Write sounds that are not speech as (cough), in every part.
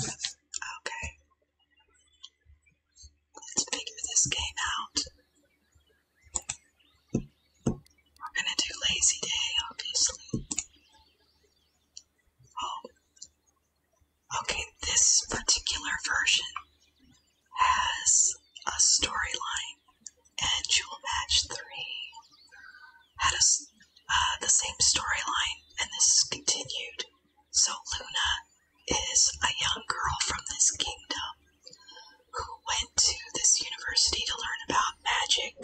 Okay. Let's figure this game out. We're gonna do Lazy Day, obviously. Oh. Okay, this particular version has a storyline, and you'll Match 3 had a, uh, the same storyline, and this continued. So Luna is a young girl from this kingdom who went to this university to learn about magic,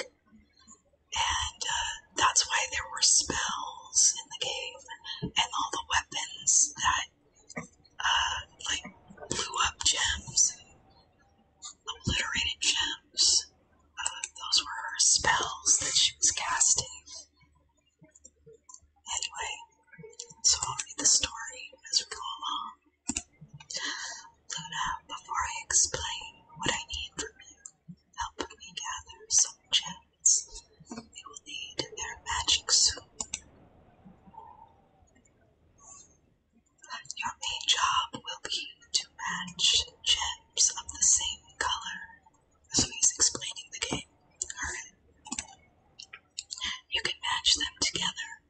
and uh, that's why there were spells in the game and all the weapons that uh, like blew up gems and obliterated gems. Those were her spells that she was casting. Anyway, so I'll read the story as we go along. Luna, before I explain what I need from you, help me gather some gems. We will need their magic soon. Your main job will be to match gems of the same color so he's explaining the game. You can match them together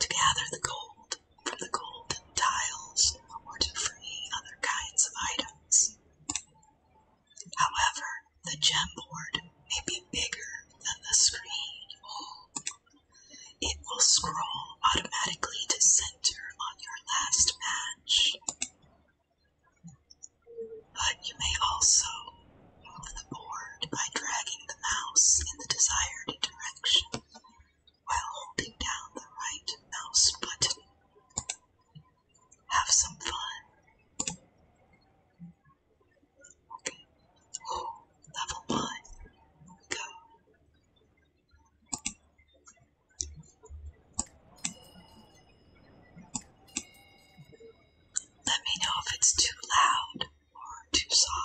to gather the gold from the golden tiles or to free other kinds of items. However, the gem board may be bigger than the screen. It will scroll automatically to center on your last match. But you may also move the board by dragging the mouse in the desired direction while holding down the right mouse button. Have some fun. Oh, level one. Go. Let me know if it's too loud or too soft.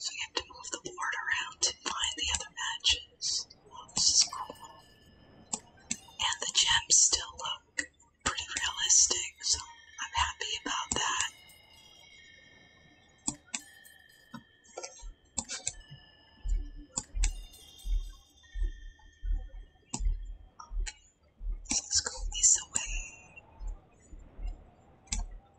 So you have to move the board around to find the other matches. this is cool. And the gems still look pretty realistic, so I'm happy about that. let's go this away.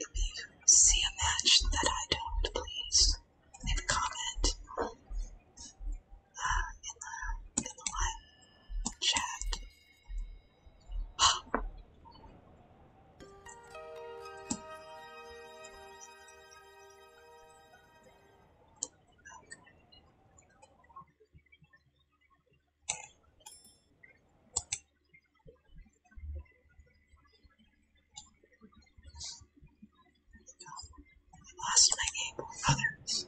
If you see a match that I don't, please leave a comment uh, in the in the live chat. Lost my able brothers.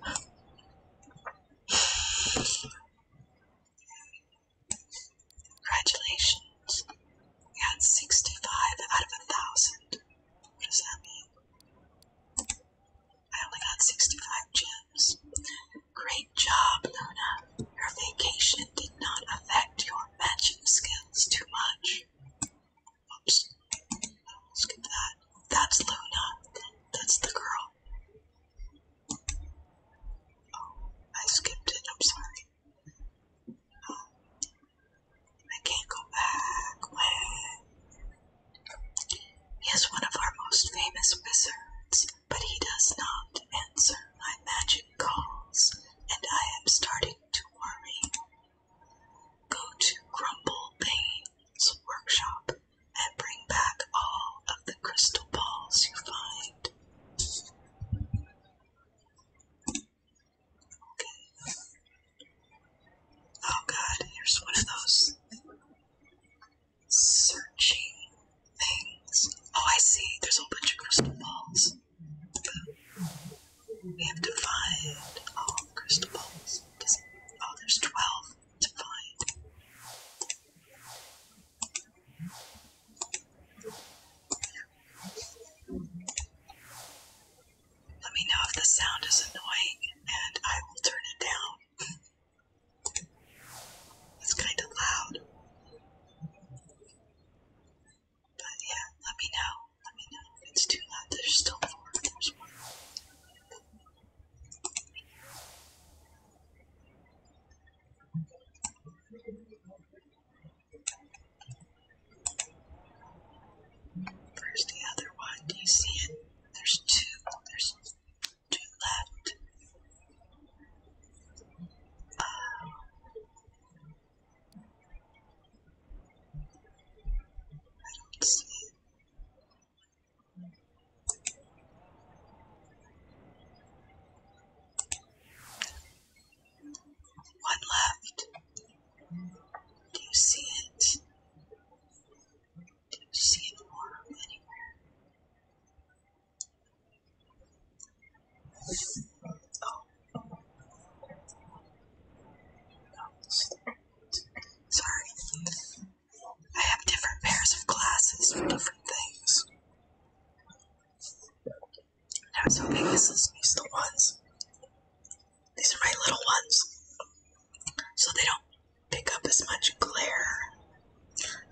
Congratulations. We had 65 out of a thousand. What does that mean? I only got 65 gems. Great job, Luna. Your vacation did not affect your magic skills too much. Oops. Skip that. That's Luna. That's the girl. Oh, I skipped it. I'm sorry. Um, I can't go back. He is one of our most famous wizards, but he does not answer my magic calls, and I am starting to worry. Go to Grumble workshop and bring back all of the crystal balls you find. Okay. Oh god, here's one of those searching Oh, I see. There's a whole bunch of crystal balls. We have to find all the crystal balls. oh, there's 12 to find. Let me know if the sound is annoying and I will turn it down. it's kind of loud. But yeah, let me know. Let me know if it's too loud. There's still four. There's more. Where's the other one? Do you see it? There's two. There's two left. Uh, one left. Do you see it? Do you see it warm anywhere? Sorry. I have different pairs of glasses for different things. I was hoping this is these the ones. These are my little ones. So they don't pick up as much glare.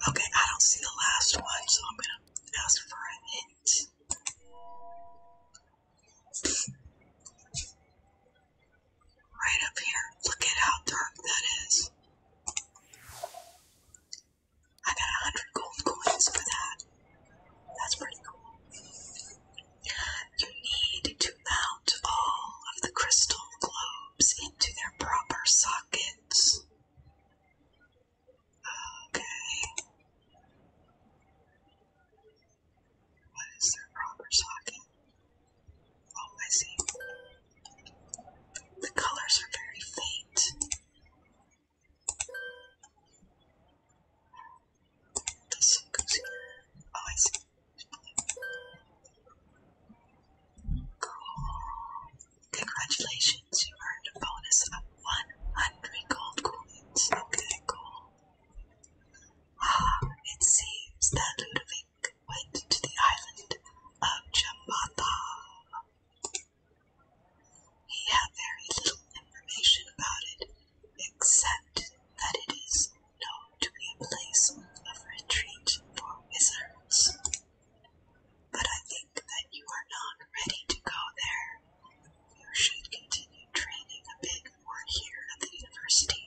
Okay, I don't see the last one, so I'm gonna ask for a hint. Right up here. Look at how dark that is. I got a hundred gold coins for that. That's pretty cool. You need to mount all of the crystal globes into their proper sockets. Okay. What is their proper socket? Oh, I see. The colors are very faint. This goes I see. Cool. Congratulations you earn a bonus of 100 gold coins. Okay, cool. Ah, it seems that Ludovic went to the island of Jambata. He had very little information about it, except that it is known to be a place of retreat for wizards. But I think that you are not ready to go there. You should continue training a bit more here at the university.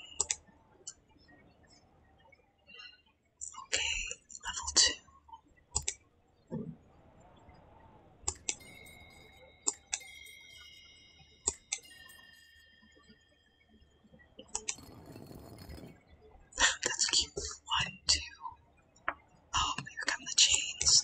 Okay, level two. That's cute. One, two. Oh, here come the chains.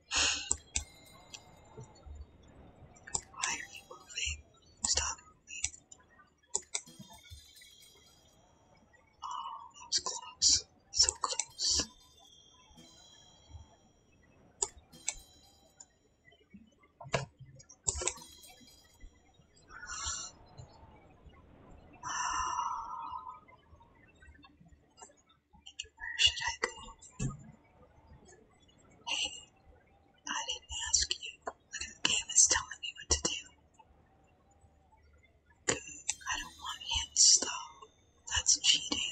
Why are you moving? Stop moving. Oh, that was close. So close. Where should I go? Hey, I didn't ask you. Look at the game canvas telling me what to do. I don't want hints, though. That's cheating.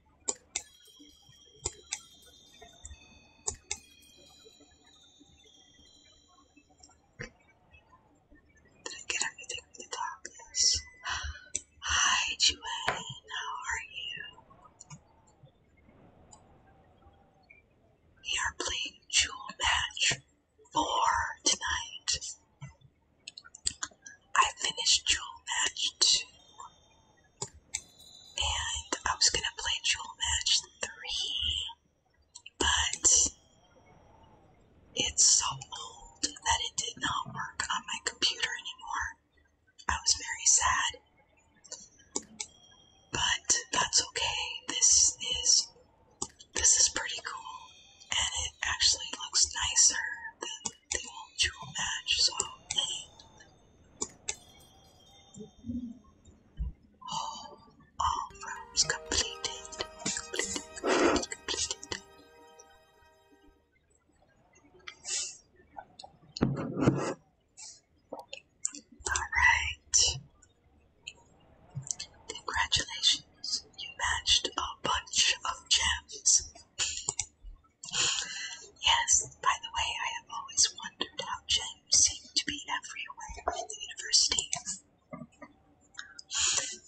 Did I get everything from the top? Hi, Joanne. How are you? We are playing Jewel Match 4 tonight. I finished Jewel Match 2, and I was gonna play Jewel Match 3, but it's so old that it did not work on my computer anymore. I was very sad. But that's okay. This is this is pretty cool and it actually looks nicer than the actual match saw all, all rounds Completed, completed, completed. Alright. Congratulations. You matched a bunch of gems. Yes, by the way, I have always wondered how James seemed to be everywhere in the university.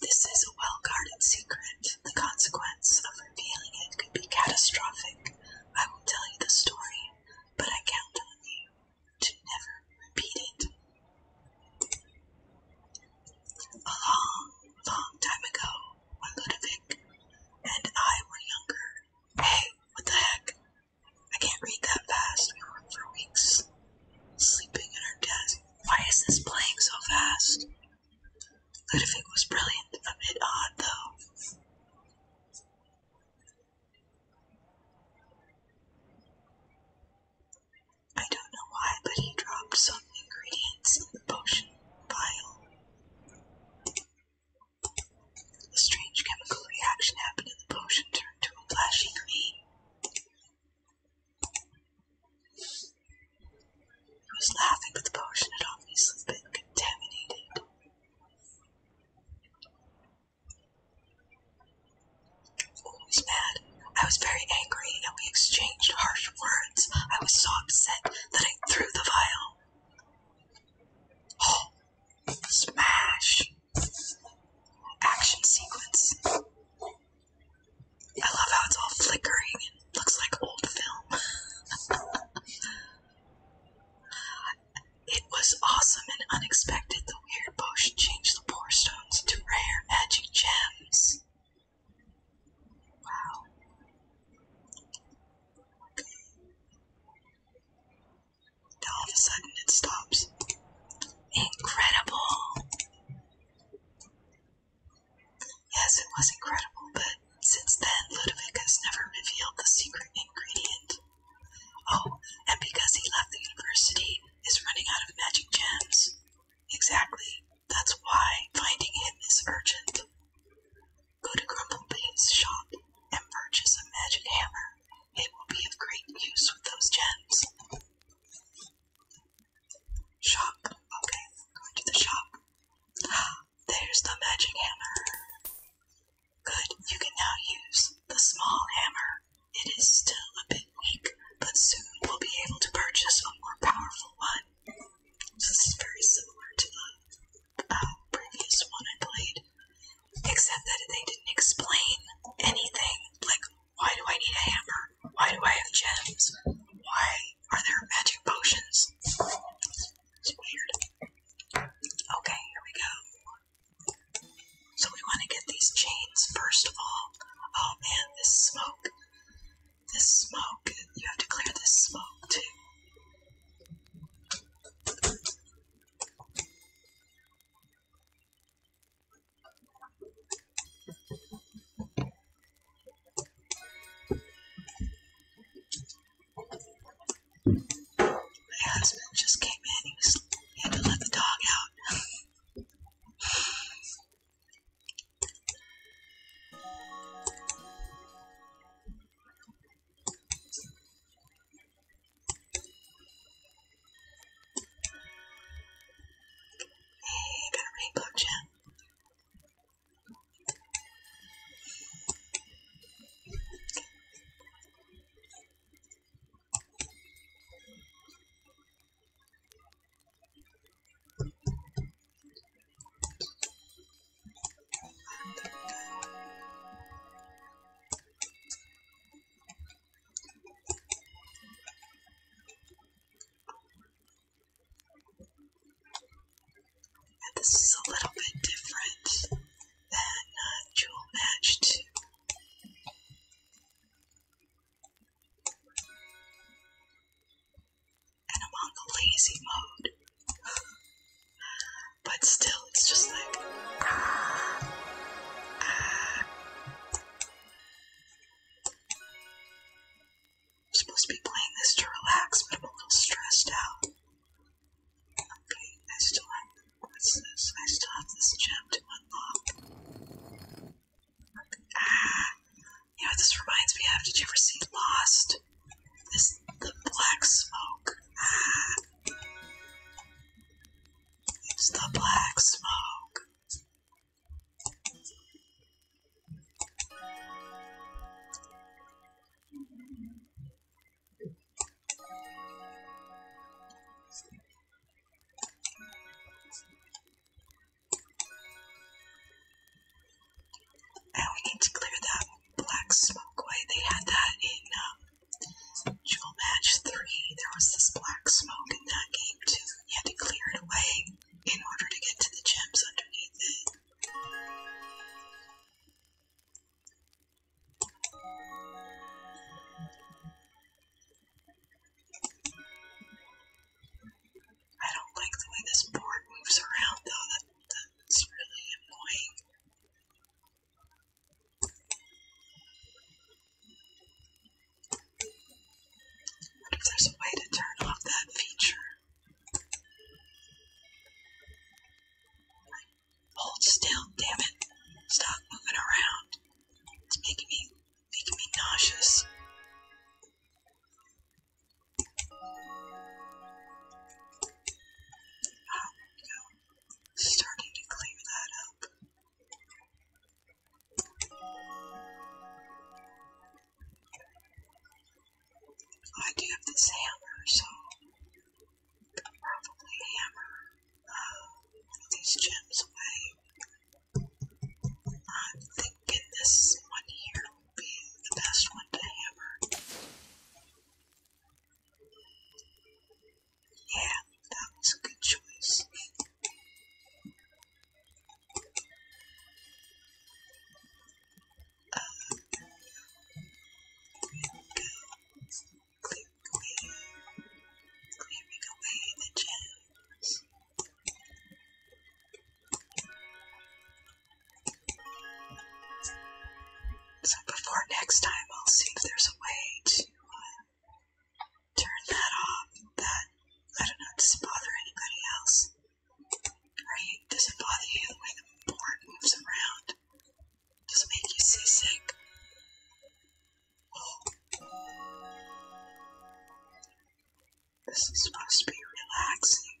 This is a well guarded secret. The consequence of revealing it could be catastrophic. I will tell you the story, but I count on you to never repeat it. A long, long time ago, when Ludovic and I were younger. Hey, what the heck? I can't read that fast. We worked for weeks, sleeping at our desk. Why is this playing so fast? Ludovic was brilliant, a bit odd though. I don't know why, but he dropped some ingredients in the potion vial. A strange chemical reaction happened and the potion turned to a flashy green. He was laughing, but the potion had obviously been contaminated. Always mad, I was very angry, and we exchanged harsh words. I was so upset that I threw the vial. Oh, smash! Action sequence. I love how it's all flickering looks like old film. it was awesome and unexpected. The weird potion changed the poor stones into rare magic gems. Wow. Okay. all of a sudden it stops. Incredible! Yes, it was incredible, but since then Ludovic has never revealed the secret ingredient. Oh, and because he left the university, is running out of magic gems. Exactly. That's why finding him is urgent. Go to Grumblebee's shop and purchase a magic hammer. It will be of great use with those gems. Shop. Okay, going to the shop. (gasps) There's the magic hammer. Good, you can now use the small hammer. It is still a bit weak, but soon we'll be able to purchase a more powerful one. This is very similar to the uh, previous one I played, except that they didn't explain anything. Like, why do I need a hammer? Why do I have gems? Why are there magic potions? It's weird. Okay, here we go. So we want to get these chains first of all. Oh man, this smoke this smoke. You have to clear this smoke too. My husband just came in. He was had to let the dog out. (laughs) Hey, got a rainbow gem. This is a little bit different than a uh, Jewel Match 2 and I'm on the lazy mode. but still, it's just like. I'm supposed to be playing this to relax, but I'm a little stressed out. I still have. this? I still have this gem to unlock. Ah, you know, this reminds me of. Did you ever see Lost? This the black smoke. It's the black smoke. And we need to clear that black smoke away. They had that in um, Jewel Match 3. There was this black smoke in that game too. You had to clear it away in order to get to the gems underneath it. I don't like the way this board moves around, though. That, that's really annoying. if there's a way to turn off that feature? Hold still, damn it. Stop moving around. It's making me making me nauseous. Um, you starting to clear that up. I do have this hammer, so probably hammer uh, these gems away. I'm thinking this one here being the best one to hammer. Yeah, that was a good choice. Uh, clearing away, clearing away the gems. So before next time, I'll see if there's a way to uh, turn that off. That I don't know does it bother anybody else? Are does it bother you the way the board moves around? Does it make you seasick? This is supposed to be relaxing.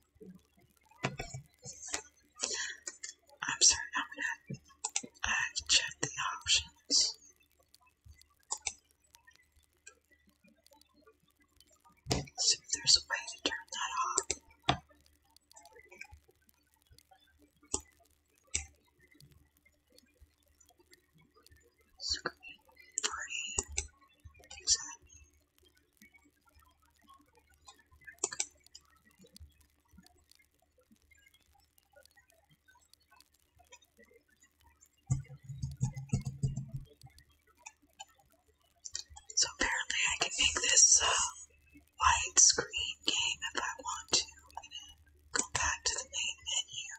I'm sorry, I'm gonna check the options. See there's a way to turn that off. Screen free. So apparently I can make this uh, widescreen game if I want to. go back to the main menu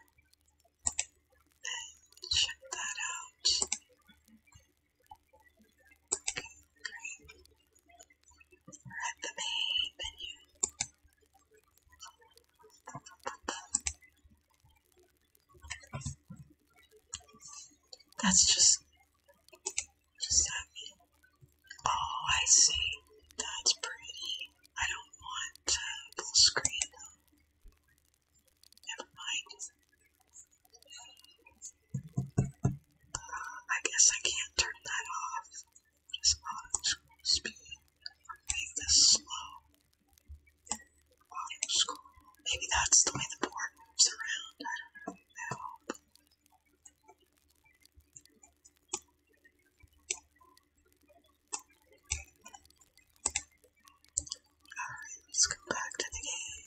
and check that out. That's just Oh, I see. That's pretty. I don't want uh, full screen. Never mind. I guess I can't turn that off. This auto scroll speed. Make this slow. Auto scroll. Maybe that's the way the board moves around. I don't know. I Alright, let's go back to the game.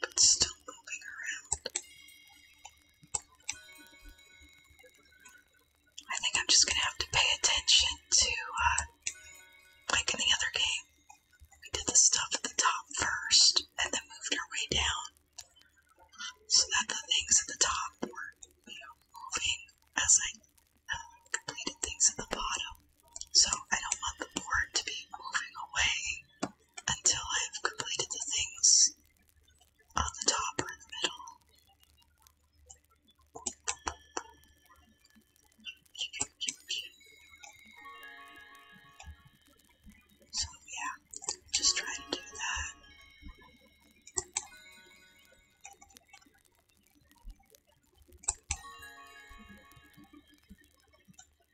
but still moving around. I think I'm just gonna have to pay attention to, uh, like in the other game, we did the stuff at the top first and then moved our way down so that the things at the top were, you know, moving as I uh, completed things at the bottom. So I don't want the board to be moving away until I have completed the things on the top or in the middle. So, yeah, just try to do that.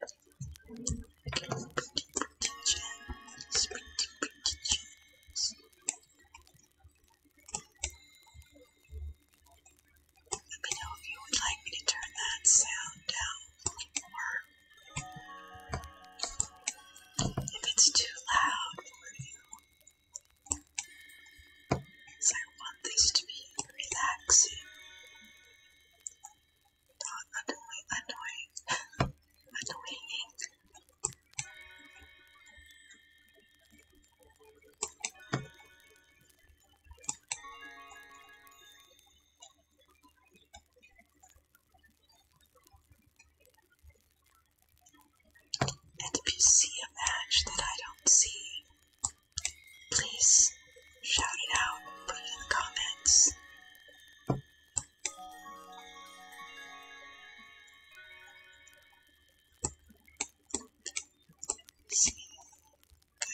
Let me know if you would like me to turn that sound down more. If it's too loud for you. Because I want this to be relaxing the annoying, annoying and if you see a match that I don't see, please shout it out, put it in the comments. I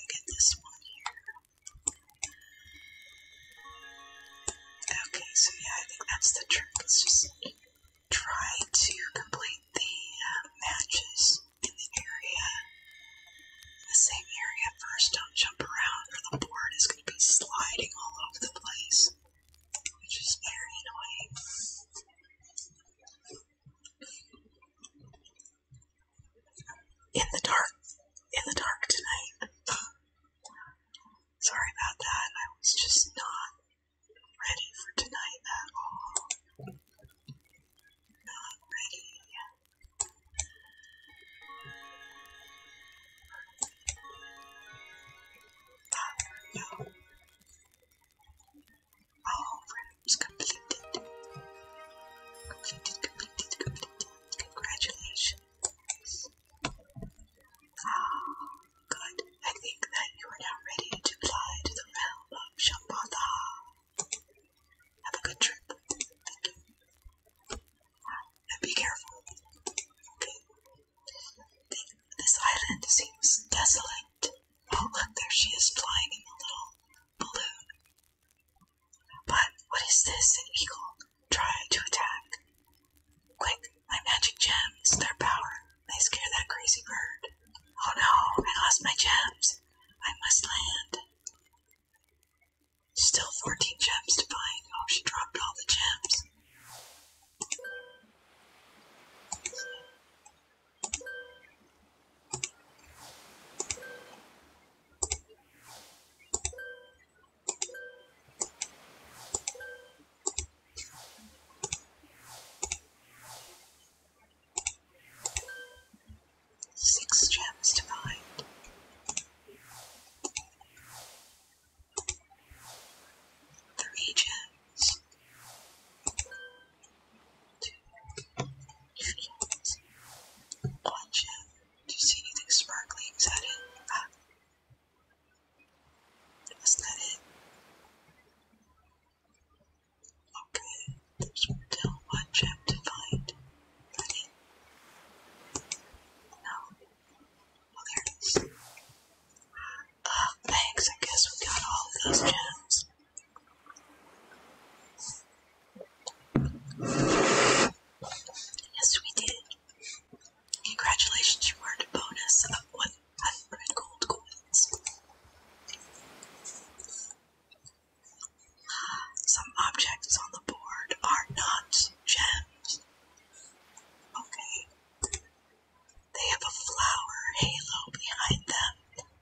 get this one here. Okay, so yeah, I think that's the trick. It's just try to complete the uh, matches in the area, the same area first. Don't jump around, or the board is be sliding all over the place, which is very annoying. In the dark, in the dark tonight. (sighs) Sorry about that, I was just not ready for tonight at all. Not ready. All frames completed. Completed, completed, completed. Congratulations. Ah, good. I think that you are now ready to fly to the realm of Shambhala. Have a good trip. Thank you. Ah, now be careful. This island seems desolate. Oh, look, there she is flying in a little balloon. But what is this? An eagle tried to attack. Quick, my magic gems, their power. may scare that crazy bird. Oh no, I lost my gems. I must land. Still 14 gems to find. Oh, she dropped all the gems. Six gems to find. Three gems. Two gems. One gem. Do you see anything sparkling? Is it? Ah. Is that it? Ah. Okay, there's still one gem to find. Ready? No. Oh, thanks, I guess we got all of those gems. Yes, we did. Congratulations, you earned a bonus of 100 gold coins. Some objects on the board are not gems, Okay. They have a flower halo behind them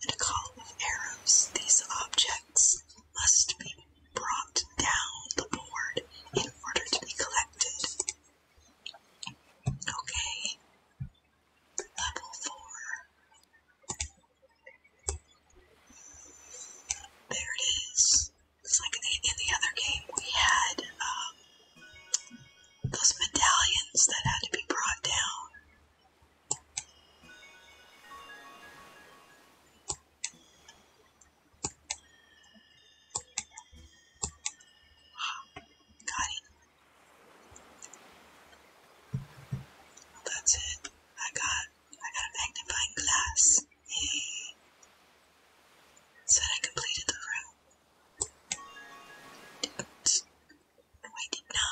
and a column of arrows. These objects must be brought down the board in order to be collected. Okay. Level 4. There it is. It's like in the, other game we had um, those medallions that had to be brought down. Got it. that's it. I got I got a magnifying glass. He said I completed the room. No, I did not.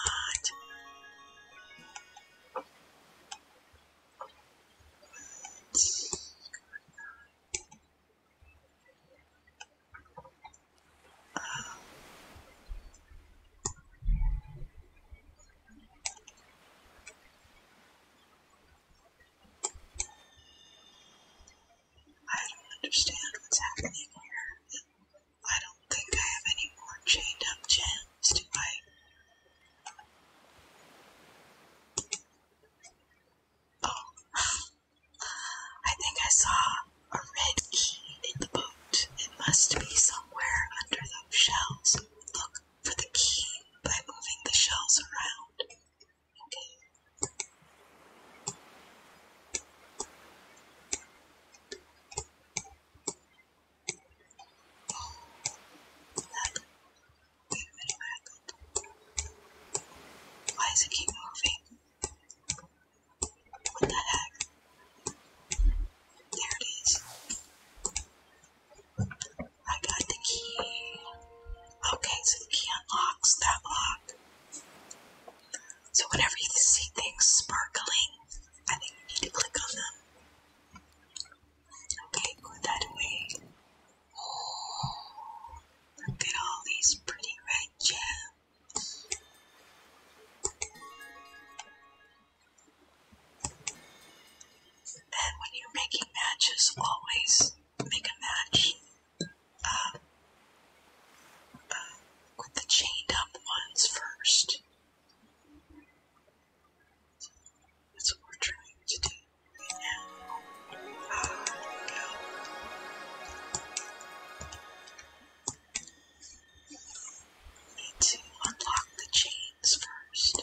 I don't understand what's happening here. I don't think I have any more chained up gems, do I? Oh, (sighs) I think I saw a red key in the boat. It must be somewhere under those shells. Look for the key by moving the shells around. Why does it keep moving? What the heck? There it is. I got the key. Okay, so the key unlocks that lock. So whenever you see things sparkling, I think you need to click on them. Okay, put that away. Oh, look at all these pretty red gems. And when you're making matches, always make a match uh, uh, with the chained up ones first. that's what we're trying to do now. Need to unlock the chains first.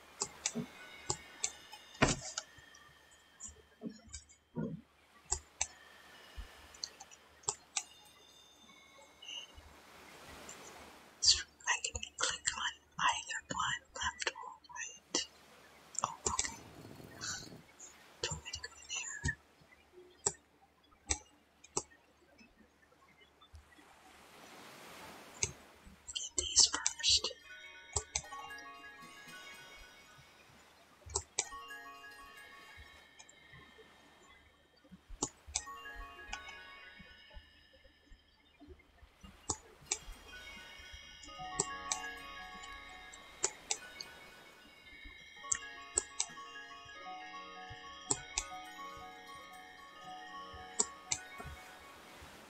So I can click on either one, left or right. Oh, okay. Do me to there? Get these first.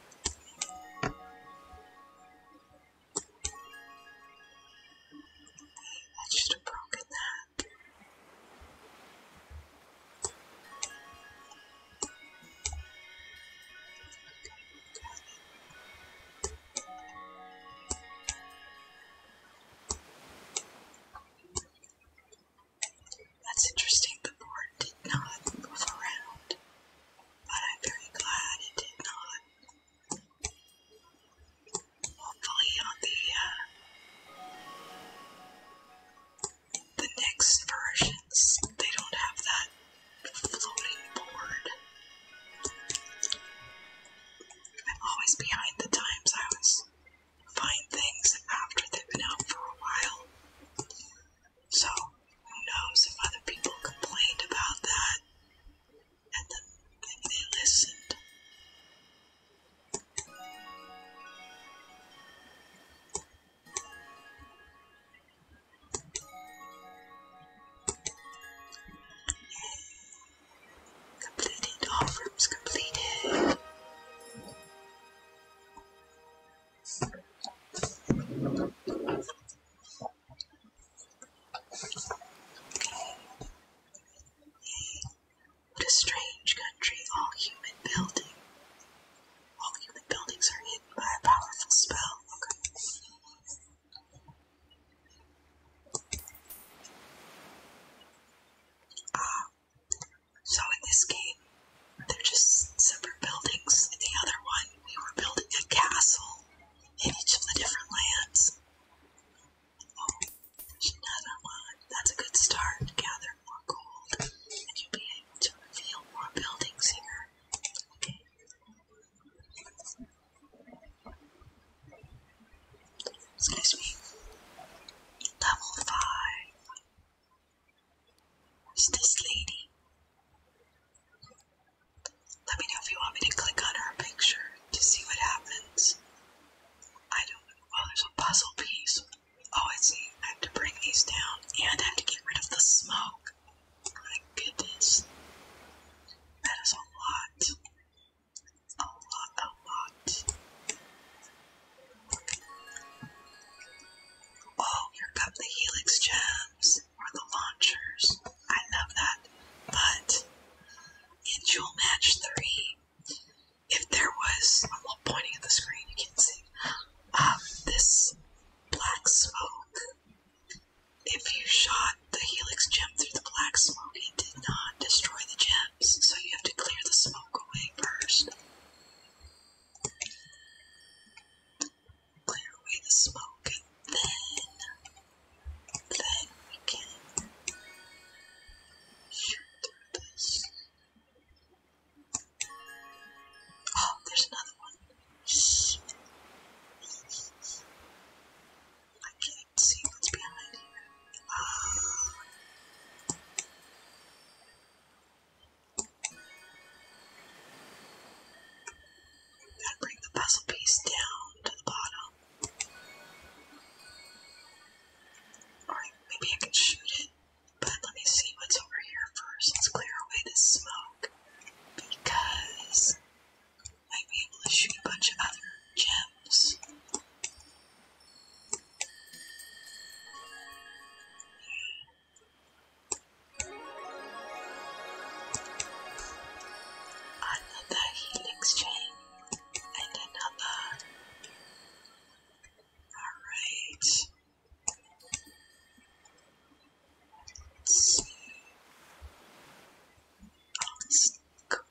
I should have that. That's interesting, the board did not move around but I'm very glad it did not. Hopefully, on the uh, the next versions, they don't have that floating board. I'm always behind the times. I always find things after they've been out for a while. So, who knows if other people complained about that and they listened. Completed, all rooms completed. What a strange country, all human building. All human buildings are hidden by a powerful spell. Ah, so in this game, they're just separate buildings. In the other one, we were building a castle in each of the different lands. Oh, there's another one. That's a good start. Gather more gold, and you'll be able to reveal more buildings here. Excuse me. Level 5. Who's this lady. Let me know if you want me to click on her picture to see what happens. I don't know. Well, there's a puzzle piece. Oh, I see. I have to bring these down and I have to get rid of the smoke. My goodness. That is a lot. A lot, a lot. Oh, here come the helix gems or the launchers. I love that. But in Jewel Match 3, if there was, a am pointing at the screen, you can't see, um, this black smoke, if you shot the helix gem through the black smoke, it did not destroy the gems, so you have to clear the smoke away first clear away the smoke, and then, then we can shoot Oh, there's another one. I can't see what's behind here. Oh. Gotta bring the puzzle piece down to the bottom. Alright, maybe I can shoot it, but let me see what's over here first. Let's clear away this smoke because I might be able to shoot a bunch of other gems another healing string and another all oh this cool oh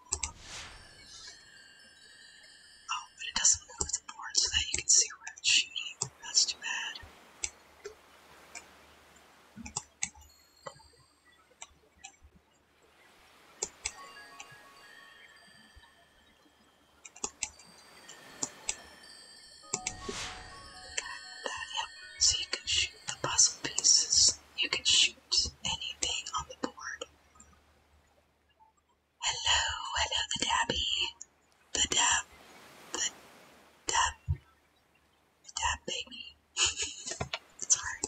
but it doesn't move the board so that you can see where it's shooting that's too bad so you can shoot the puzzle pieces. You can shoot anything on the board. Hello, hello, the dabby. The dab. The dab a dad baby. it's hard.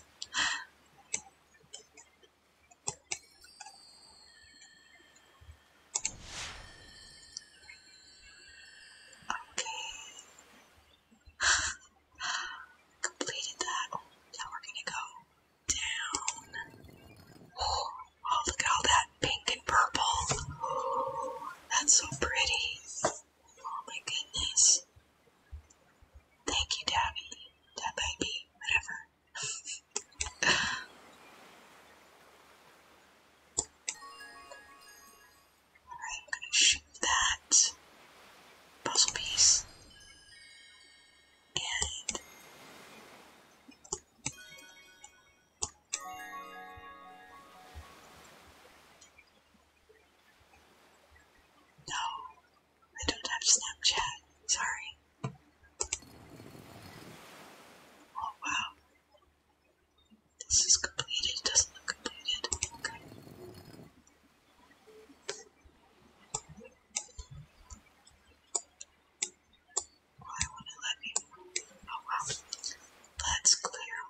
Okay. (gasps) Completed that. Oh, now we're gonna go down. (gasps) oh look at all that pink and purple. That's so pretty. Oh my goodness. Thank you, Dabby. Dab baby, whatever. Alright, I'm gonna shoot that puzzle piece. And no, I don't have Snapchat. Sorry. Oh wow. This is completed. doesn't look completed. Okay. Why won't it let Oh wow. Let's clear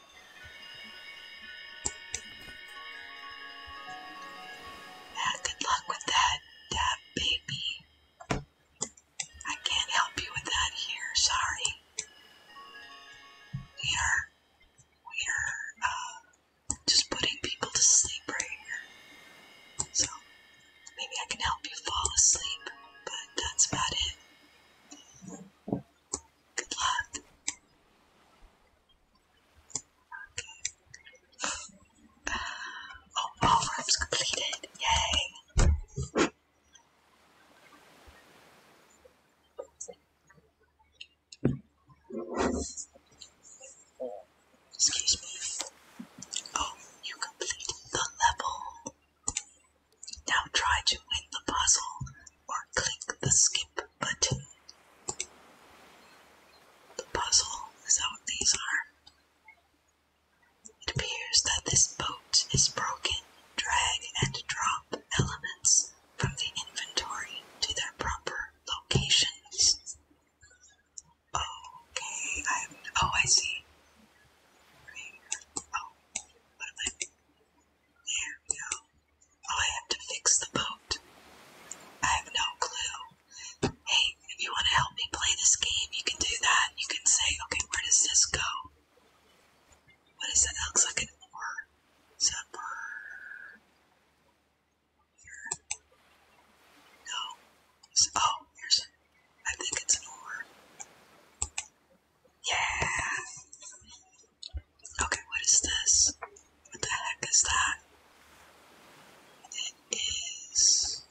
Yeah, uh, good luck with that, that baby. I can't help you with that here, sorry. We are, we are, uh, just putting people to sleep right here. So, maybe I can help you fall asleep, but that's about it. Good luck. completed. Yay. Excuse me. Oh, you completed the level. Now try to win the puzzle or click the skip button. The puzzle is what these are. It appears that this boat is broken. Drag and drop elements from the inventory to their proper locations. Okay, I oh I see. There we go. I have to fix the boat. I have no clue. Hey, if you want to help me play this game, you can do that. You can say, okay, where does this go? What is that? That looks like an oar. Is that Here. No. oh, here's. I think it's an oar. Yeah. Okay, what is this? What the heck is that? It is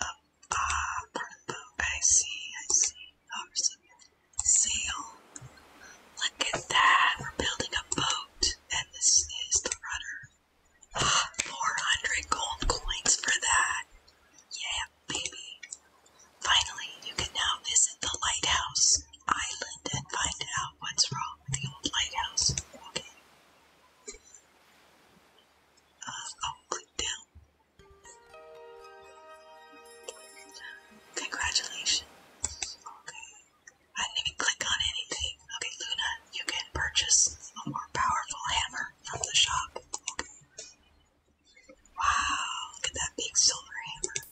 a ah purple. I see, I see. Oh, sail. Look at that. We're building a boat, and this is the rudder. Ah, 400 gold coins for that. Yeah, baby. Finally, you can now visit the lighthouse island and find out what's wrong with the old lighthouse. Okay. Uh, oh, click down. Congratulations. Okay. I didn't even click on anything. Okay, Luna, you can purchase a more powerful hammer from the shop. Wow, look at that big silver hammer.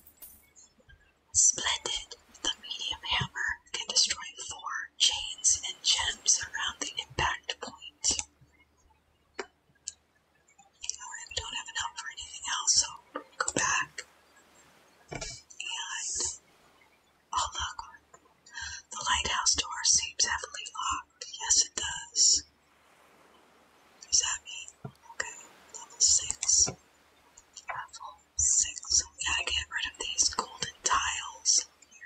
Splendid. The medium hammer can destroy four chains and gems around the impact point. Oh, I don't have enough for anything else, so go back. And oh look, the lighthouse door seems heavily locked. Yes, it does. Does that mean? Okay, level 6. Level 6. We get rid of these golden tiles here.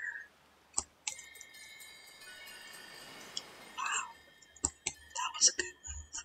Wow. That was a good move.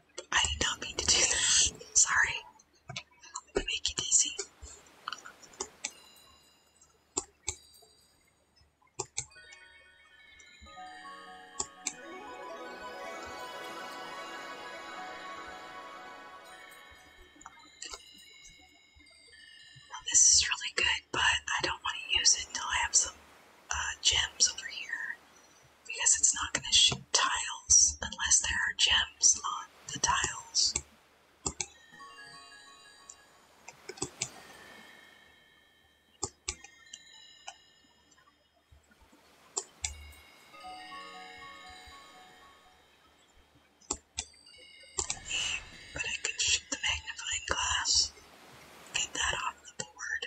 I did not mean to do that. Sorry. I make you dizzy. this is really good, but I don't want to use it until I have some uh, gems over here because it's not going to shoot tiles unless there are gems on the tiles. But I could shoot the magnifying glass, get that off the board.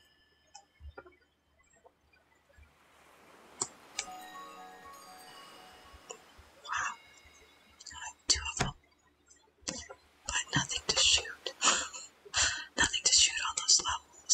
Wow, two of them, but nothing to shoot. nothing to shoot on those levels.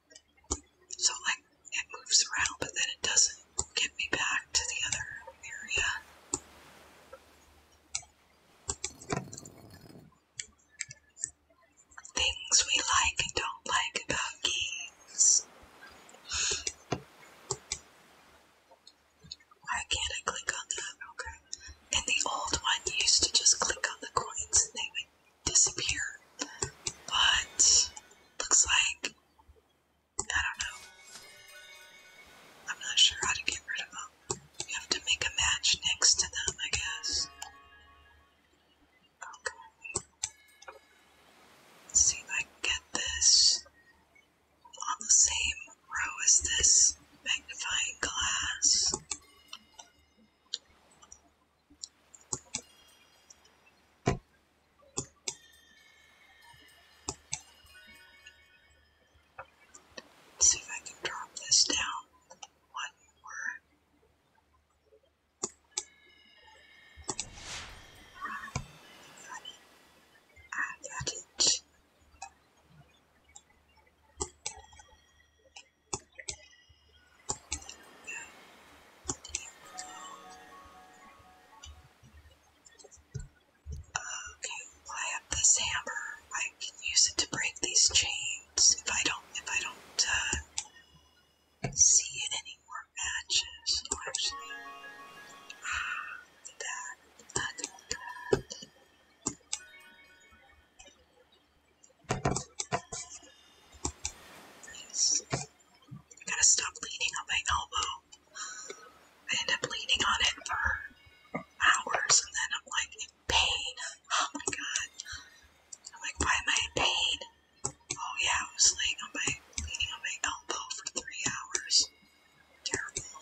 So, like, it moves around, but then it doesn't get me back to the other area. Things we like and don't like about games. Why can't I click on that? Okay. In the old one, used to just click on the coins and they would disappear. But looks like I don't know. I'm not sure how to get rid of them. You have to make a match next to them, I guess. Okay. see if I can get this on the same row as this magnifying glass. Let's see if I can drop this down one more. I got it. Okay, I have this hammer. I can use it to break these chains if I don't if I don't uh, see any more matches. ah, look at that. I gotta stop leaning on my elbow. I end up leaning on it for hours and then I'm like in pain. Oh my god. I'm like, why am I in pain? Oh yeah, I was laying on my leaning on my elbow for three hours. Terrible.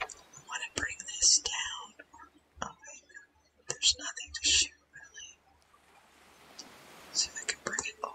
I want to bring this down. Oh there's nothing to shoot really. See if I can bring it over.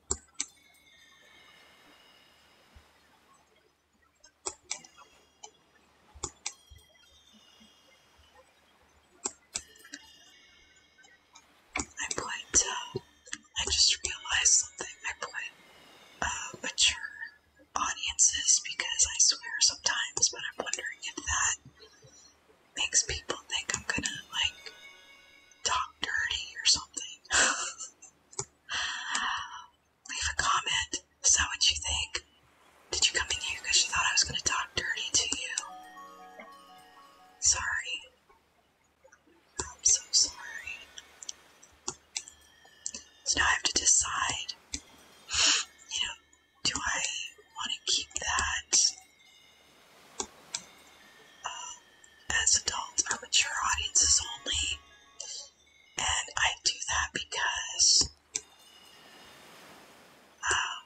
I played, uh, I just realized something. I played uh, mature audiences because I swear sometimes, but I'm wondering if that makes people think I'm gonna, like, talk dirty or something. (laughs) (sighs) Leave a comment. So what you think? Did you come in here because you thought I was going to talk dirty to you? Sorry. I'm so sorry. So now I have to decide, you know, do I want to keep that? Um, as adults or mature audiences only. And I do that because um,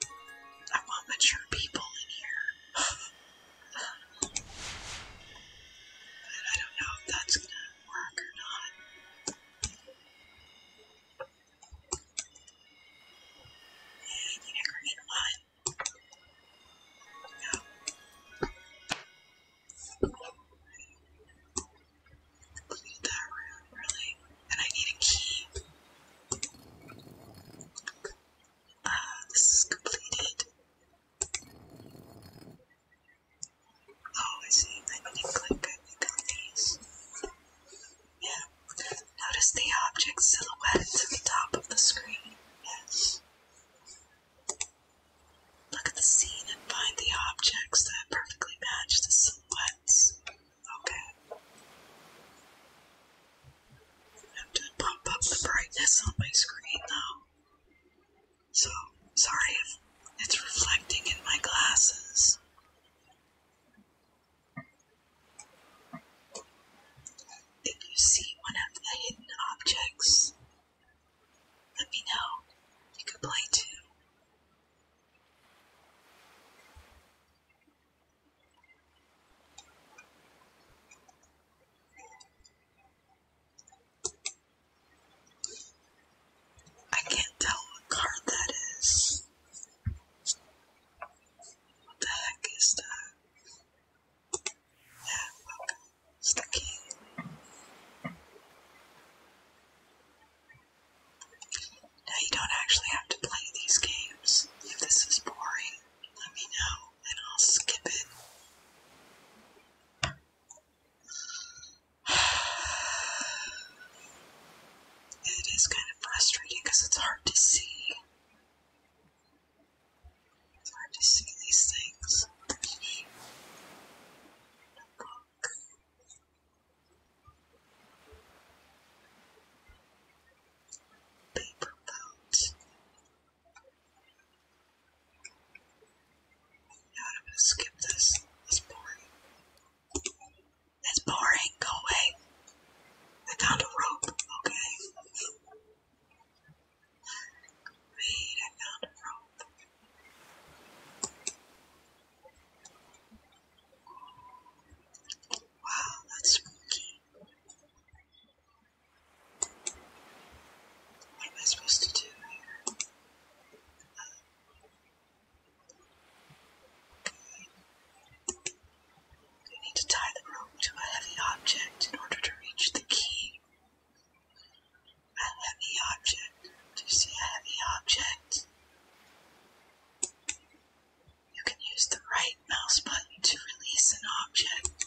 I want mature people in here. I don't know if that's going to work or not. Yeah, you never get one. No that room, really, and I need a key. Uh, this is completed. Oh, I see. I need to click, on these. Yeah. Notice the object silhouette at the top of the screen. Yes. Look at the scene and find the objects that perfectly match the silhouettes. Okay. I have to pump up the brightness on my screen though. So, sorry if it's reflecting in my glasses. If you see one of the hidden objects, let me know. You could play too. I can't tell what card that is. What the heck is that? Sticky. Now you don't actually have to play these games. If this is boring, let me know and I'll skip it. (sighs) It is kind of frustrating because it's hard to see. It's hard to see these things. Paper boat. No, I'm gonna skip this. It's boring. It's boring. Go away. I found a rope. Wait, Wow, that's spooky. What am I supposed to do here? Um, need to tie the rope to a heavy object in order to reach the key. A heavy object. To see a heavy object, you can use the right mouse button to release an object.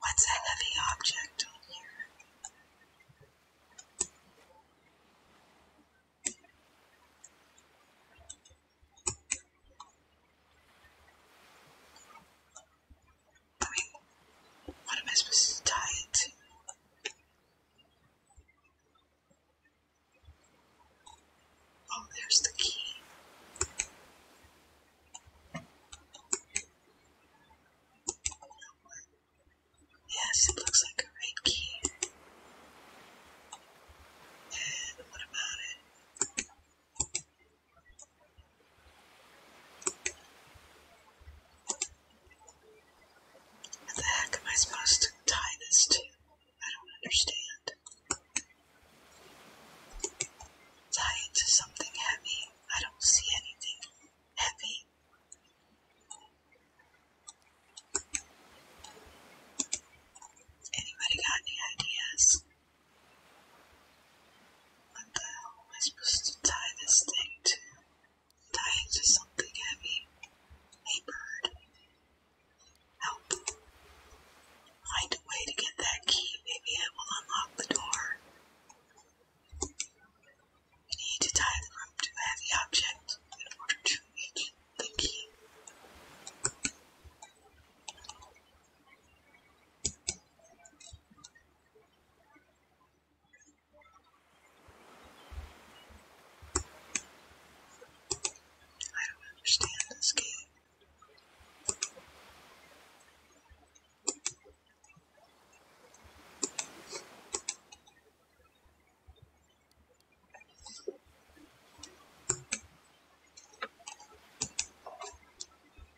What's a heavy object on here? I mean, what am I supposed to tie it to? Oh, there's the key. Yes, it looks like a red key. And what about it? What the heck am I supposed to tie this to? I don't understand. Tie it to something heavy. I don't see anything heavy. Anybody got any ideas? What the hell am I supposed to tie this thing to? Tie it to something heavy. Hey, bird. Help. Find a way to get that key. Maybe it will unlock the door. We need to tie the rope to a heavy object in order to reach the key. I don't understand this game.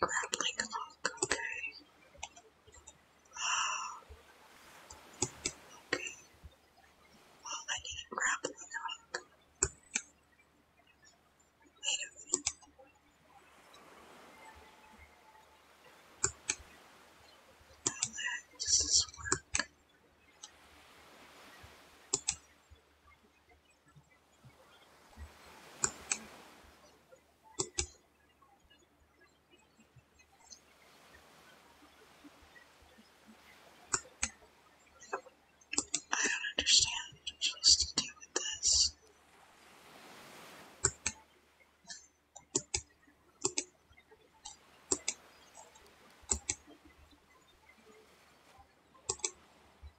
grappling hook, okay. okay. Well, I need a grappling hook. Wait a minute. How does this work? I don't understand what I'm supposed to do with this.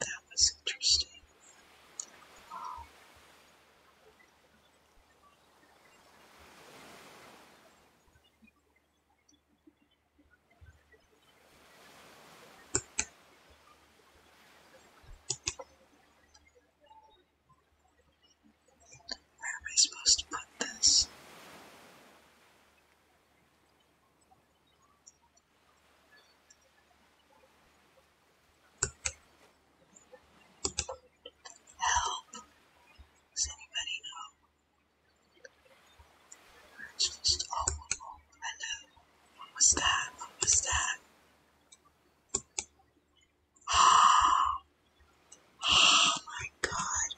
that was interesting. Where am I supposed to put this? Help! Does anybody know? We're oh, oh, oh, What was that? What was that? Oh my god.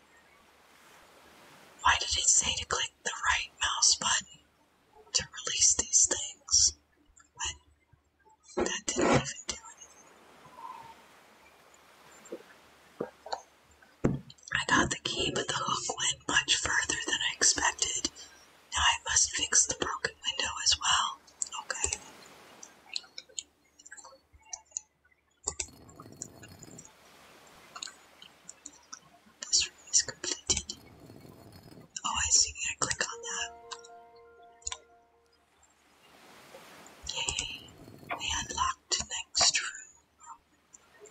Why did it say to click the right mouse button to release these things? When that didn't even do anything. I got the key, but the hook went much further than I expected. Now I must fix the broken window as well. Okay. This room is completed. Oh, I see. I click on that. Yay! We unlocked next room.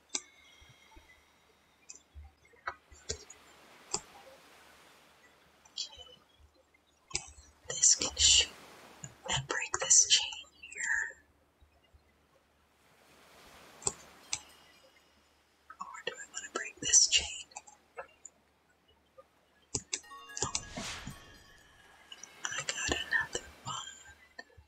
This can shoot and break this chain here. Or do I want to break this chain? I got another one.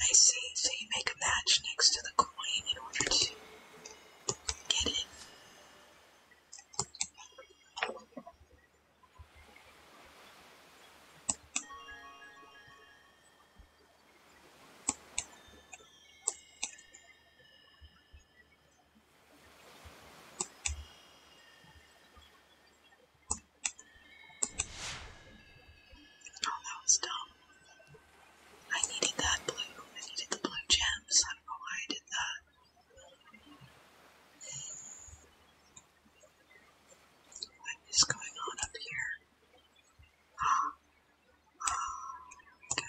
I see, so you make a match next to the coin in order to get it. Oh, that was dumb. I needed that blue. I needed the blue gems. I don't know why I did that. What is going on up here? Ah. Ah. go.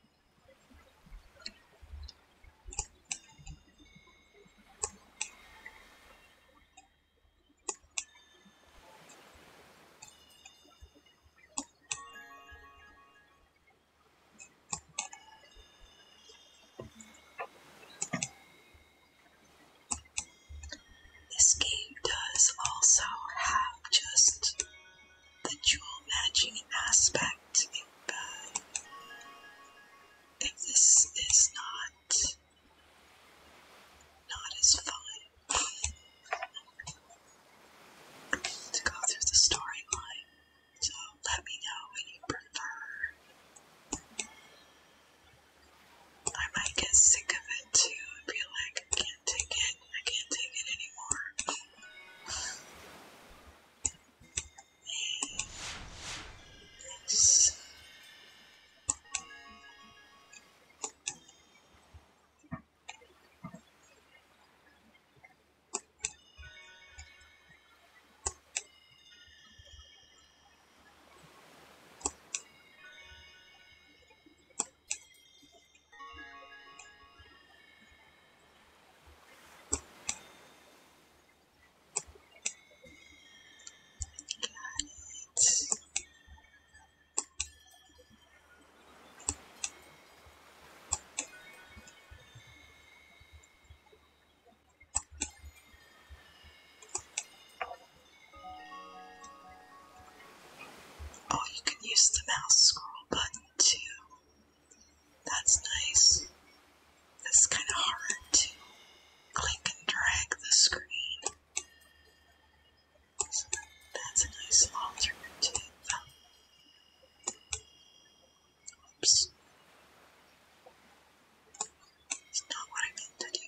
This game does also have just the jewel matching aspect if, uh, if this is not not as fun to go through the storyline. So let me know what you prefer. I might get sick of it too and be like, I can't take it. I can't take it anymore. And Oh, you can use the mouse scroll button that's nice. It's kind of hard to click and drag the screen. that's a nice alternative. Oops. It's not what I meant to do.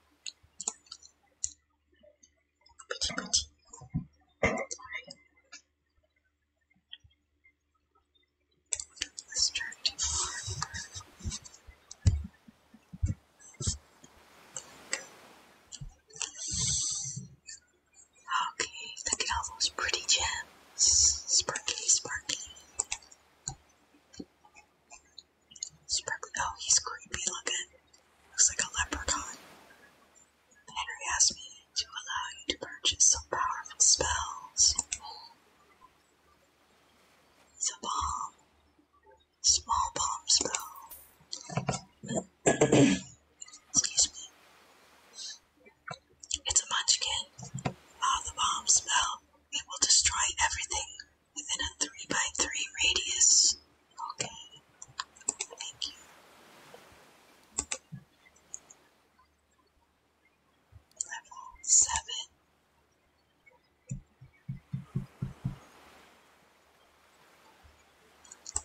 petit petit. Okay, look at all pretty gems. Sparkly, sparkly oh, he's creepy looking. Looks like a leprechaun. Henry asked me to allow you to purchase some powerful spells. It's bomb. Small bomb spell. Excuse me. It's a munchkin. Allow the bomb spell. It will destroy everything within a 3 by 3 radius. Okay, thank you. Level 7.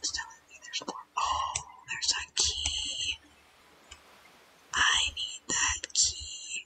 telling me there's more. Oh, there's a key. I need that key.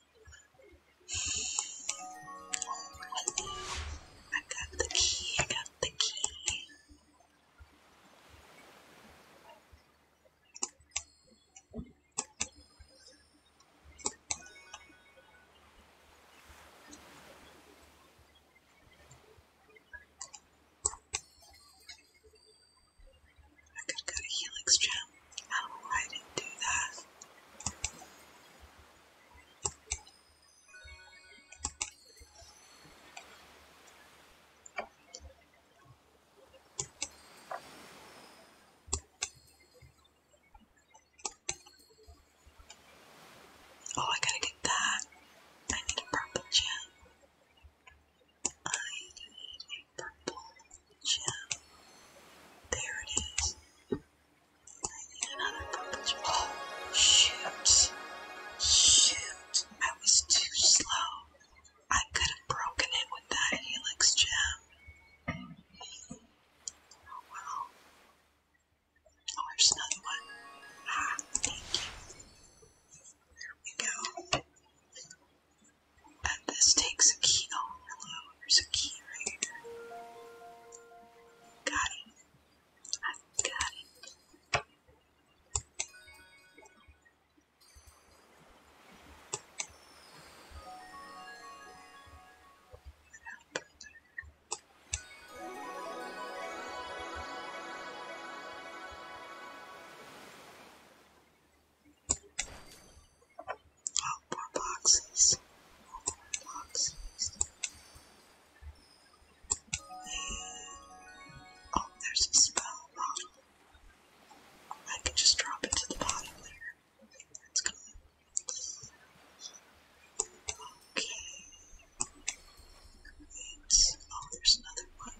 I got the key, I got the key. go to Helix Channel him. I I didn't do that. Oh, I gotta get that. I need a purple gem. I need a purple gem. There it is. I need another purple Oh, shoot. Shoot. I was too slow. I could have broken it with that helix gem. Oh, well. Oh, there's another one. Ah, There we go. And this takes a key. Oh, hello, there's a key right here. Got it. i got it. Outdoor boxes. Outdoor boxes. Oh, there's a spell bottle. I can just drop it to the bottom there. That's good. Okay. Wait. Oh, there's another one.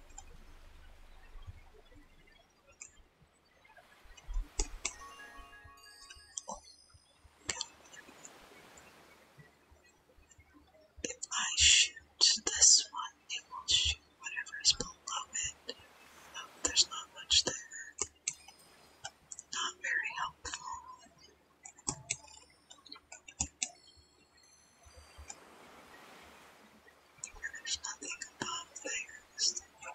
If I shoot this one, it will shoot whatever is below it. there's not much there. Not very helpful. There's nothing above there. Is there?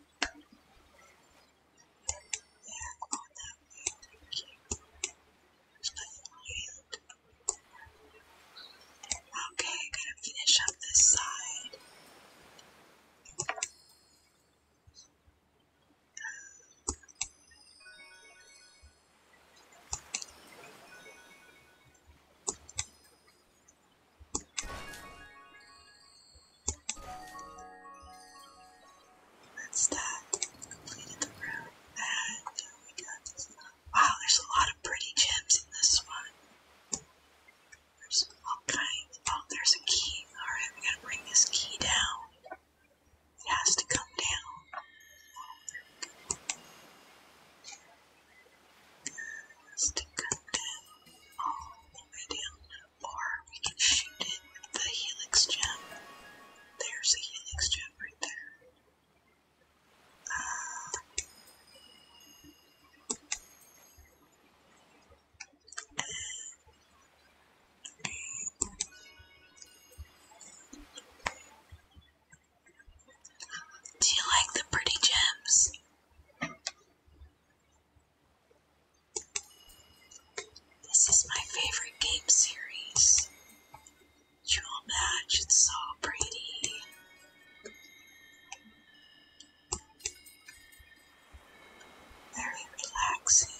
Okay, got to finish up this side. That's that. Completed the room. And we go. Wow, there's a lot of pretty gems in this one. There's all kinds. Oh, there's a key. Alright, we gotta bring this key down. It has to come down is to down all the iridium, or we can shoot it with the helix gem. There's a helix gem right there. do you like the pretty gems? This is my favorite game series. Dual Match and Saw Brady. Very relaxing.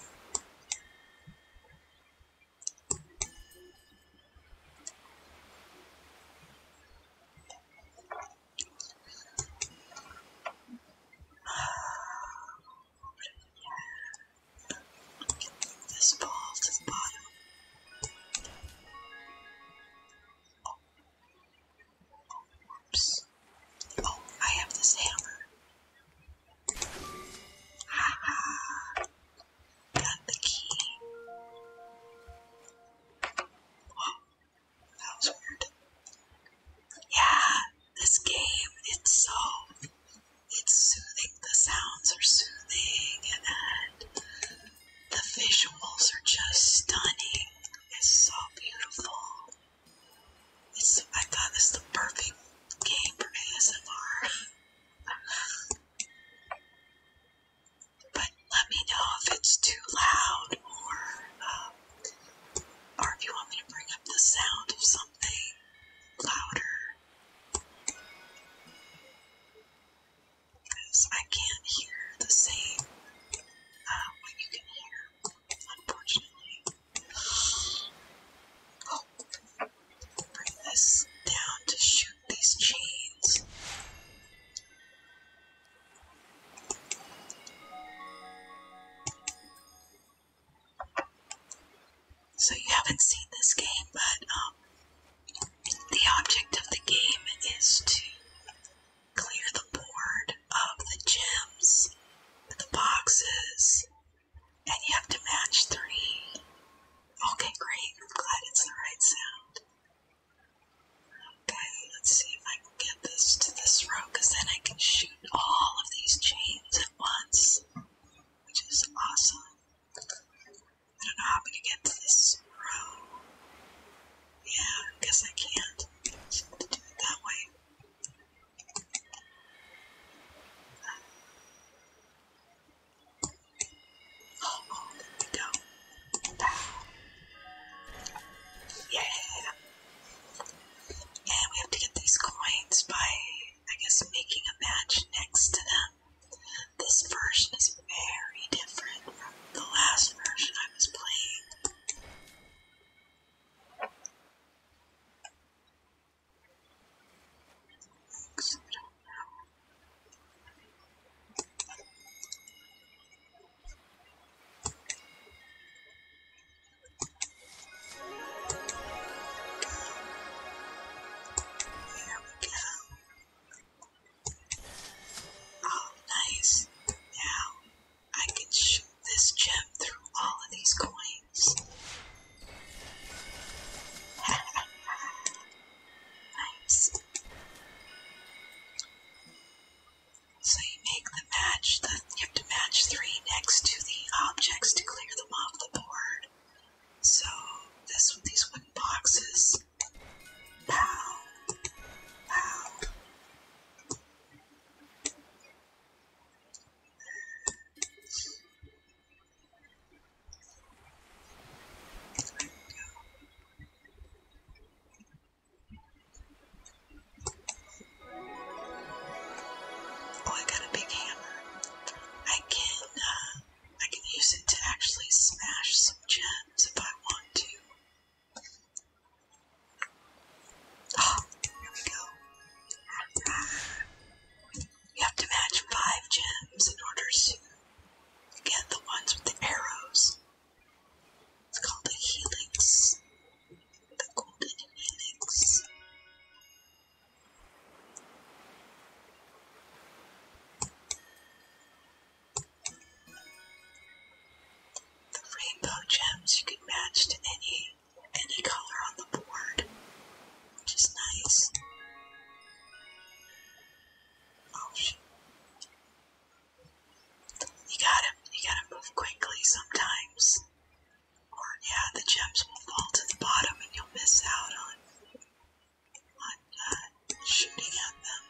This ball to the bottom. Oops. Oh, I have this hammer. Haha. Got the key. That was weird. Yeah, this game, it's so. It's soothing. The sounds are soothing, and the visuals are just stunning. It's so beautiful. It's, I thought this the perfect game for ASMR. (laughs) let me know if it's too loud or um, or if you want me to bring up the sound of something louder. Because I can't hear the same uh, what you can hear, unfortunately. Oh, bring this down to shoot these chains. So you haven't seen this game, but um, the object of the game is to clear the board of the gems, the boxes, and you have to match three. Okay, great. I'm glad it's the right sound. Okay, let's see if I can get this to this row, then I can shoot all of these chains at once, which is awesome. I don't know how I'm going to get to this row. Yeah, guess I can't. So I have to do it that way. Oh, oh, we go. Yeah. And we have to get these coins by, I guess, making a match next to them. This version is very different from the last version I was playing. There we go. Oh, nice. Now I can shoot this gem through all of these coins. nice. So you make the match, you have to match three next to the objects to clear them off the board. So this with these wooden boxes. Pow. Pow. Oh, I got a big hammer. I can uh, I can use it to actually smash some gems if I want to. Oh, here we go. You have to match five gems in order to get the ones with the arrows. It's called a helix. The golden helix. The rainbow gems you can match to any any color on the board, which is nice. Oh, you gotta, you gotta move quickly sometimes. Or yeah, the gems will fall to the bottom and you'll miss out on, on uh, shooting at them.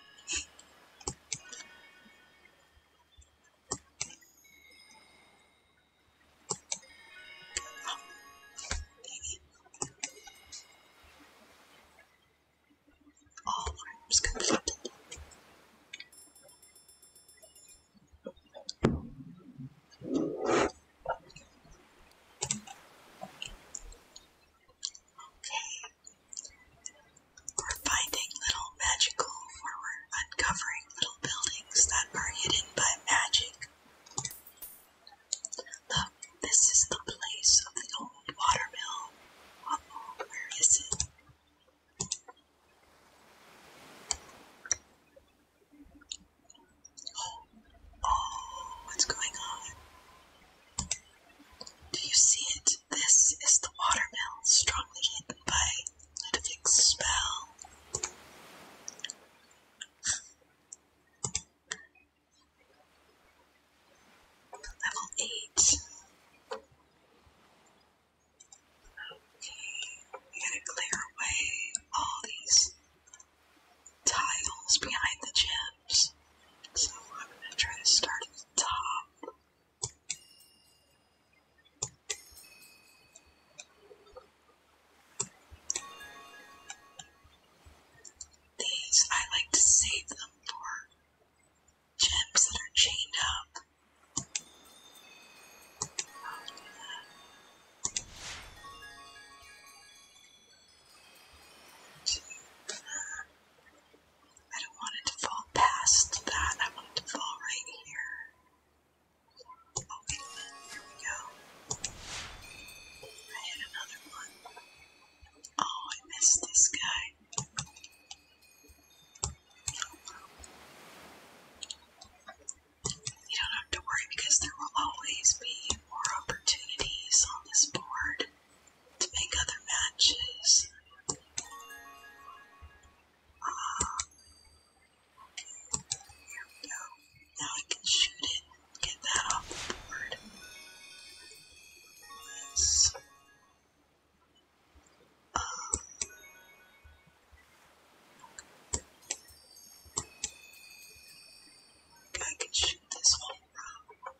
Oh, dang it. All rooms completed. We're finding little magical, we're uncovering little buildings that are hidden by magic. Look, this is the place of the old watermill. Where is it? Oh, what's going on? Do you see it? This is the watermill, strongly hidden by Ludovic's spell. Level 8. Okay, I'm gonna clear away all these tiles behind the gems. So I'm gonna try to start at the top. These I like to save them for gems that are chained up. I don't want it to fall past that. I want it to fall right here. Oh, Here we go. I hit another one. Oh, I missed this guy. You don't have to worry because there will always be more opportunities on this board to make other matches. Uh, Here we go. Now I can shoot it get that off the board. Yes. I can shoot this whole rock.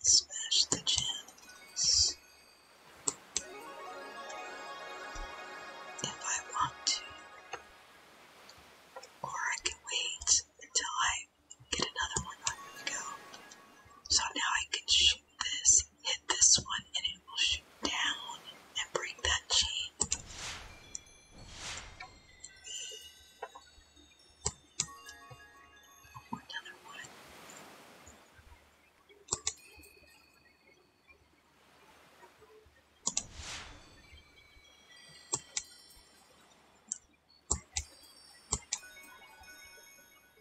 Smash the gems. If I want to. Or I can wait until I get another one on the go. So now I can shoot hit this, hit this one, and it will shoot down and bring that chain. Another one.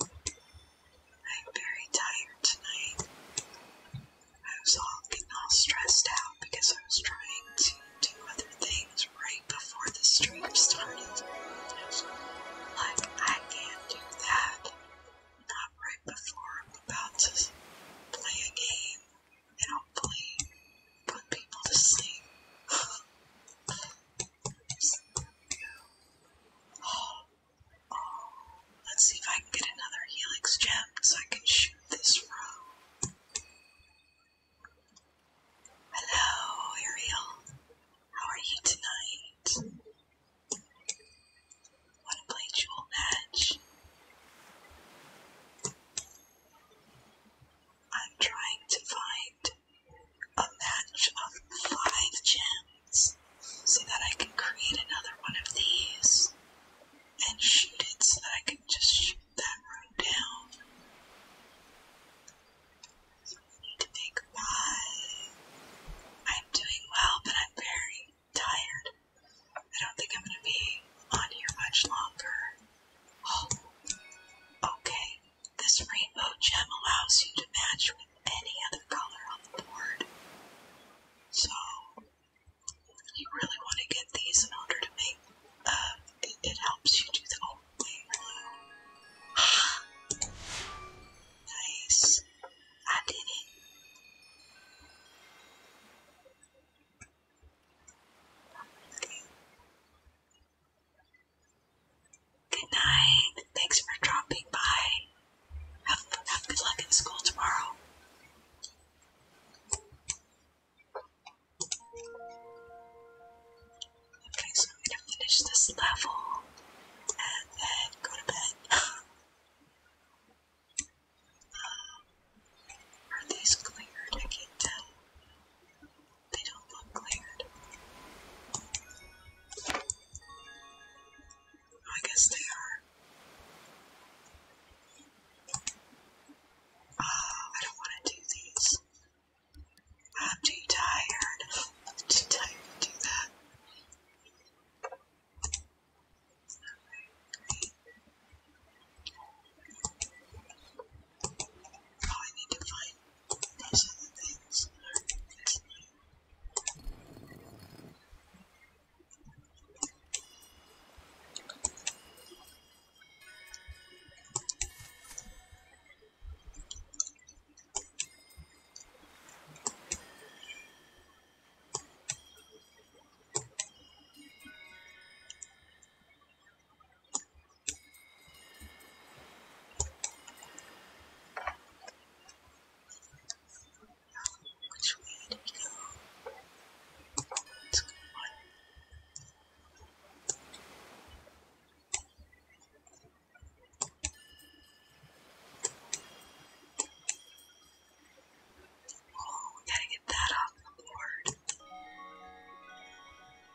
I'm very tired tonight. I was all getting all stressed out because I was trying to do other things right before the stream started. Like, I can't do that. Not right before I'm about to play a game and hopefully put people to sleep. oh, oh, let's see if I can get another helix gem so I can shoot this row. Hello, Ariel. How are you tonight? Want to play Jewel Edge? I'm trying to find a match of five gems so that I can create another one of these and shoot it so that I can just shoot that room down. I need to make my. I'm doing well, but I'm very tired. I don't think I'm going to be on here much longer. Oh, okay. This rainbow gem allows you to match with any other color on the board. So, you really want to get these in order to make, uh, it, helps you do the whole thing (gasps) nice. I did it. Good night. Thanks for dropping by. Have, good luck in school tomorrow. Okay, so I'm gonna finish this level and then go to bed. (laughs) Um, are these cleared? I they don't look cleared. I guess they are. Ah, I don't want to do these. I'm too tired. I'm to do that. Now I need to find these other things. This which way do we go? Let's go Oh, we gotta get that off the board.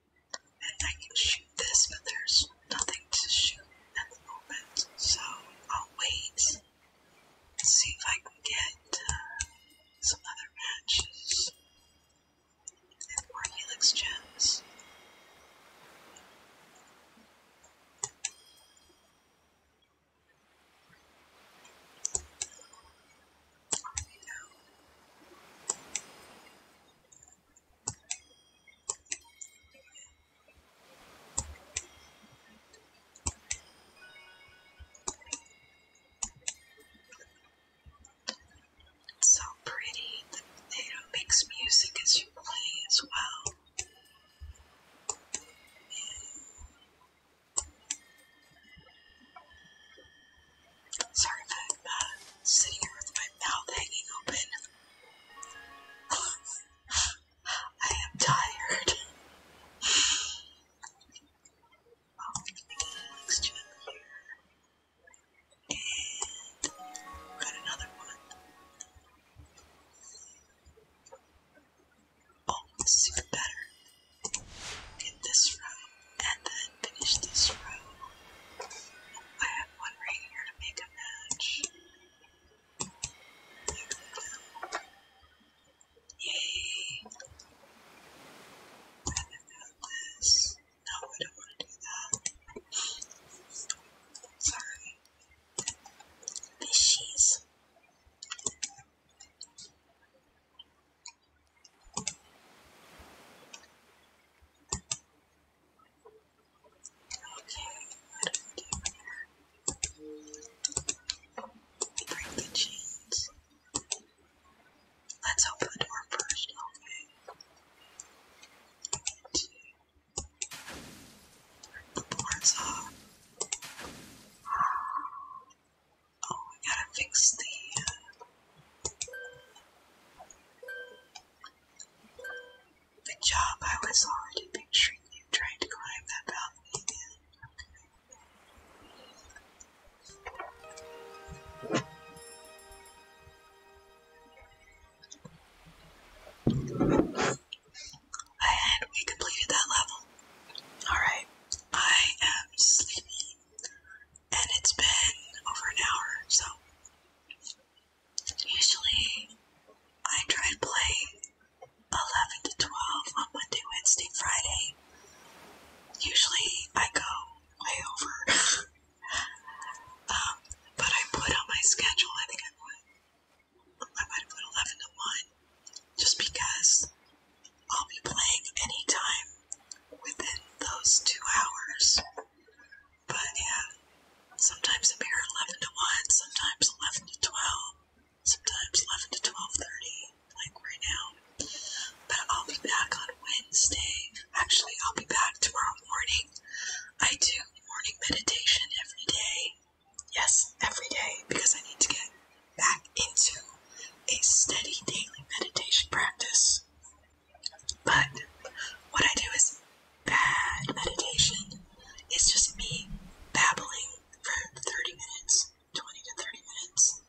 and I can shoot this, but there's nothing to shoot at the moment, so I'll wait and see if I can get uh, some other matches and helix gems. It's so pretty that it makes music as you play as well. Sorry if uh, sitting here with my mouth hanging open. (sighs) I am tired. I'll next to got another one. Oh, uh, it's better. Get this row and then finish this row have one right here to make a match. There we go. Yay! I this. No, I don't want to do that. Sorry. Fishies. Okay, do we do here? We break Let's open the door first, okay? to rip the boards off. Oh, we gotta fix the. Uh, the job I was already picturing you trying to climb that balcony again. And we completed that level. Alright, I am sleepy. And it's been over an hour, so Usually, I try to play 11 to 12 on Monday, Wednesday, Friday. Usually, I go way over. (laughs) um, but I put on my schedule, I think I put, I might put 11 to 1, just because I'll be playing anytime within those two hours. But yeah, sometimes I'm here 11 to 1, sometimes 11 to 12, sometimes 11 to 12.30, like right now. But I'll be back on Wednesday. Actually, I'll be back tomorrow morning. I do morning meditation every day. Yes, every day, because I need to get back into a steady daily meditation practice. But what I do is bad meditation. It's just me babbling for 30 minutes, 20 to 30 minutes,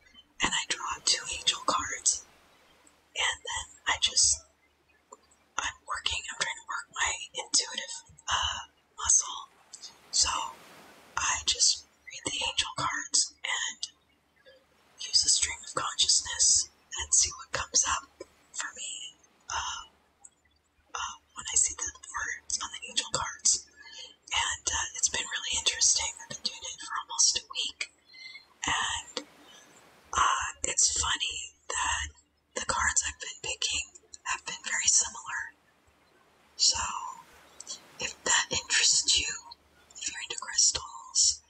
and I draw two angel cards. And then I just, I'm working, I'm trying to work my intuitive uh, muscle. So I just read the angel cards and use the stream of consciousness and see what comes up for me. Uh, when I see the words on the angel cards. And uh, it's been really interesting. I've been doing it for almost a week. And uh, it's funny that the cards I've been picking have been very similar. So, if that interests you, if you're into crystals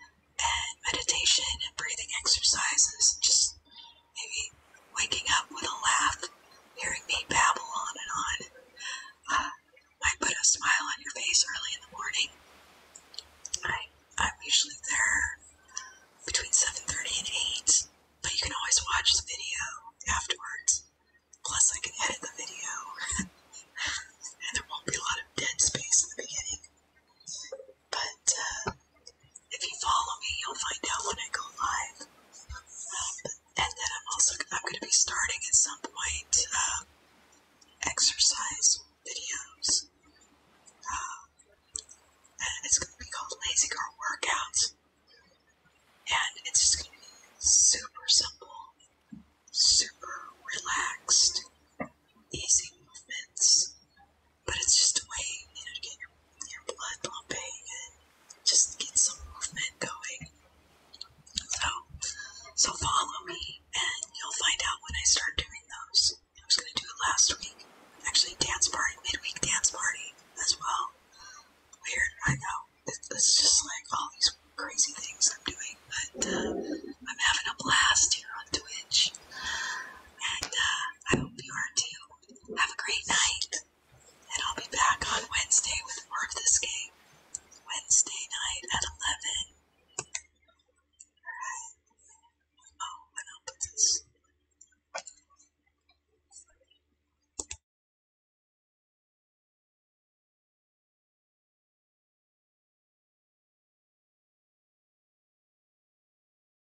and meditation and breathing exercises, just maybe waking up with a laugh, hearing me babble on and on, uh, put a smile on your face early in the morning. I, I'm usually there between 7.30 and 8, but you can always watch the video afterwards. Plus, I can edit the video, (laughs) and there won't be a lot of dead space in the beginning. But uh, if you follow me, you'll find out when I go live. and then I'm also I'm going to be starting at some point uh, exercise videos. Uh, and it's going to be called Lazy Girl Workouts. And it's just going to be super simple, super relaxed, easy movements. But it's just a way, you know, to get your, your blood pumping and just get some movement going. So, so follow me, and you'll find out when I start doing those. I was gonna do it last week. Actually, dance party, midweek dance party as well. Weird, I know. It's, just like all these crazy things I'm doing, but uh, I'm having a blast here on Twitch, and uh, I hope you are too. Have a great night, and I'll be back on Wednesday with more of this game. Wednesday night at 11. Alright. Oh, and I'll put this.